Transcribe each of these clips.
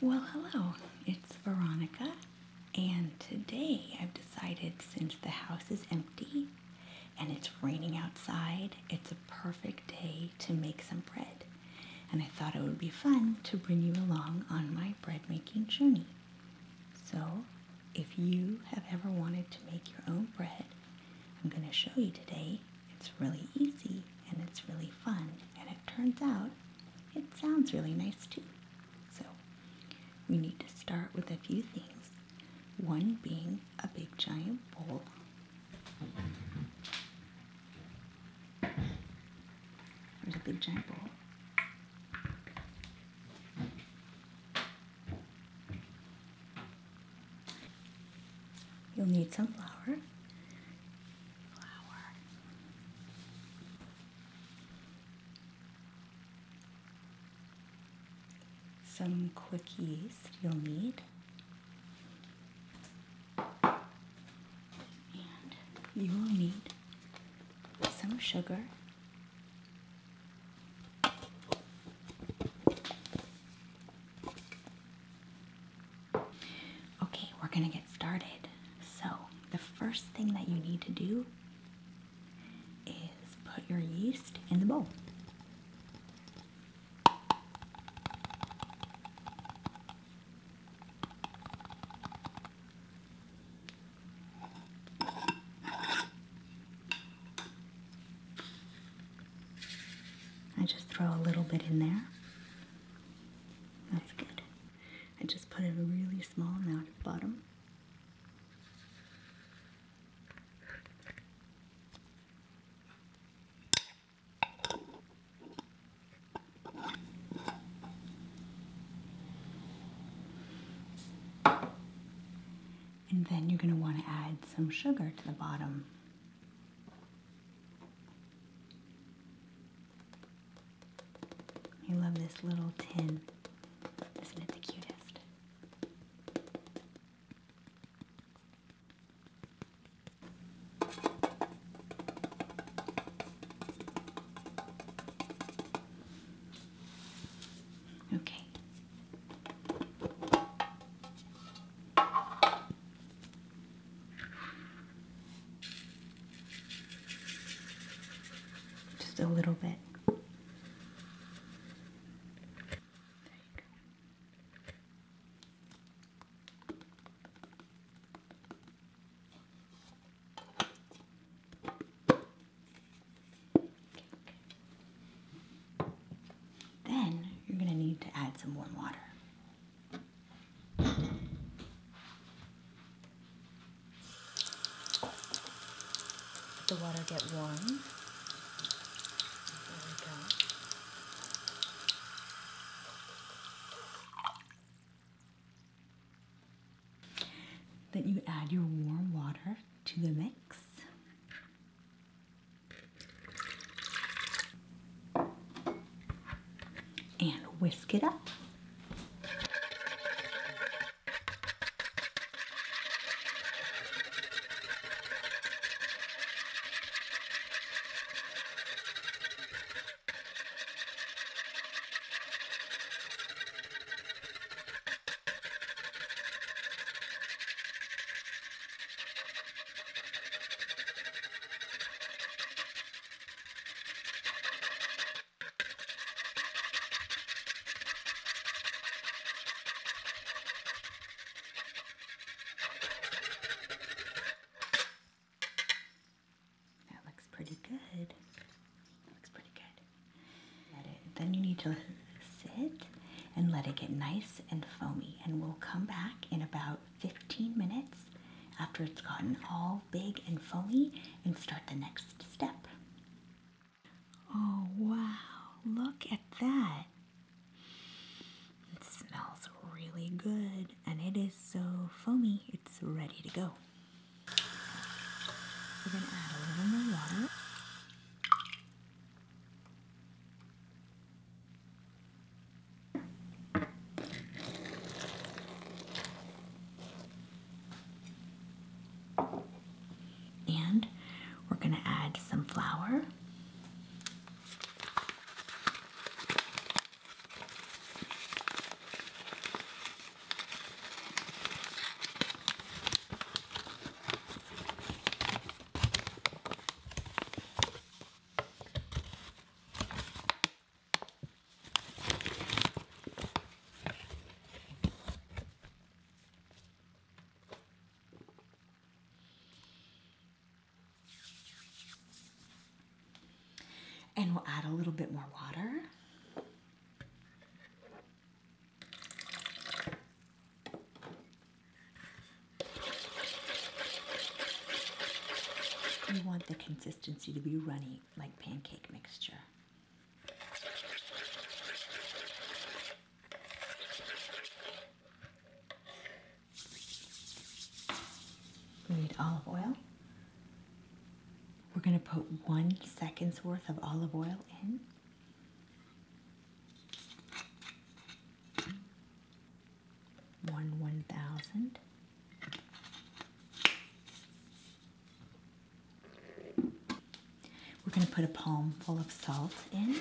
Well, hello, it's Veronica, and today I've decided since the house is empty and it's raining outside, it's a perfect day to make some bread. And I thought it would be fun to bring you along on my bread making journey. So, if you have ever wanted to make your own bread, I'm going to show you today it's really easy and it's really fun, and it turns out it sounds really nice too. So, we need to start with a few things, one being a big giant bowl. There's a big giant bowl. You'll need some flour, flower. Some quickies you'll need. you will need some sugar. Okay, we're gonna get started. So, the first thing that you need to do is put your yeast in the bowl. I just throw a little bit in there that's good. I just put a really small amount at the bottom. And then you're going to want to add some sugar to the bottom. I love this little tin. Isn't it the cutest? Okay. Just a little bit. Then you're going to need to add some warm water. Let the water get warm. Then you add your warm water to the mix. And whisk it up. That looks pretty good. looks pretty good. then you need to sit and let it get nice and foamy. And we'll come back in about 15 minutes after it's gotten all big and foamy and start the next step. Oh wow, look at that. It smells really good and it is so foamy, it's ready to go. And we're going to add some flour. And we'll add a little bit more water. You want the consistency to be runny like pancake mixture. We need olive oil. We're going to put one second's worth of olive oil in one one thousand. We're going to put a palm full of salt in.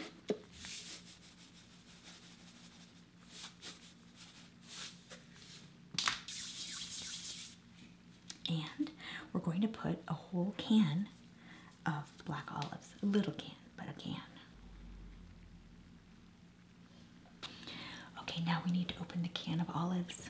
And we're going to put a whole can of black olives, a little can but I can. Okay, now we need to open the can of olives.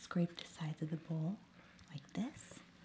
Scrape the sides of the bowl like this.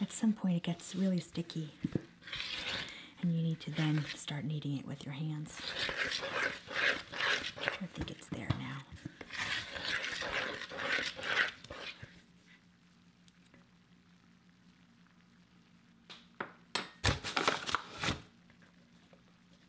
At some point it gets really sticky and you need to then start kneading it with your hands. I think it's there now.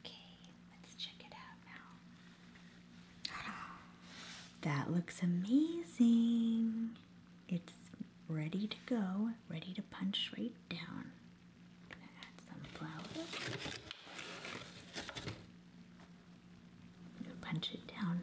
Okay, let's check it out now. That looks amazing. It's ready to go, ready to punch right down. gonna add some flour. punch it down.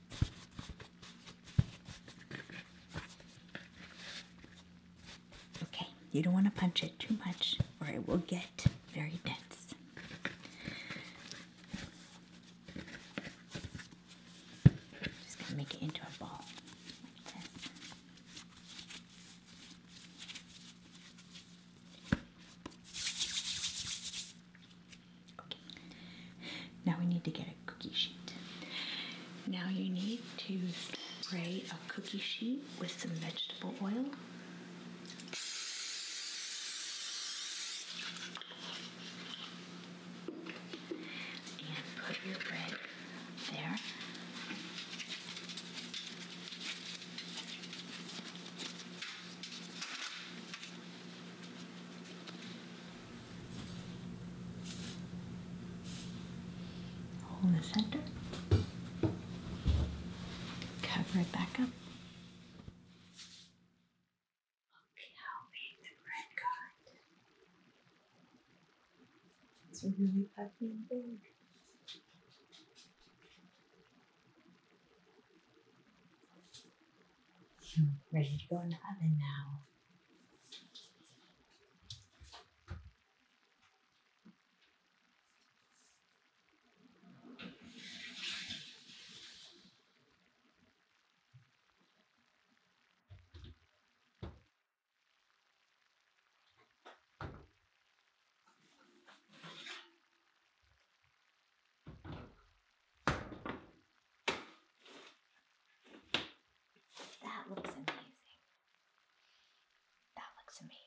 Okay, you don't want to punch it too much or it will get very dense. Just going to make it into a ball like this. Okay. Now we need to get a cookie sheet. Now you need to spray a cookie sheet with some vegetable oil. And put your bread there hole the center, cover it back up. Okay, I'll make the red card. It's a really puffy and big ready to go in the oven now. That looks amazing. That looks amazing.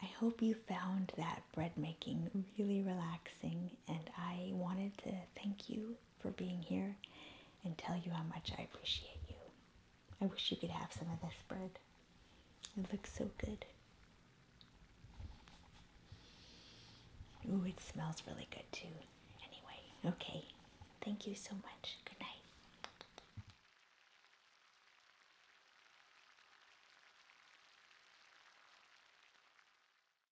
I hope you found that bread making really relaxing, and I wanted to thank you for being here and tell you how much I appreciate you. I wish you could have some of this bread. It looks so good. Ooh, it smells really good too. Anyway, okay. Thank you so much. Good night.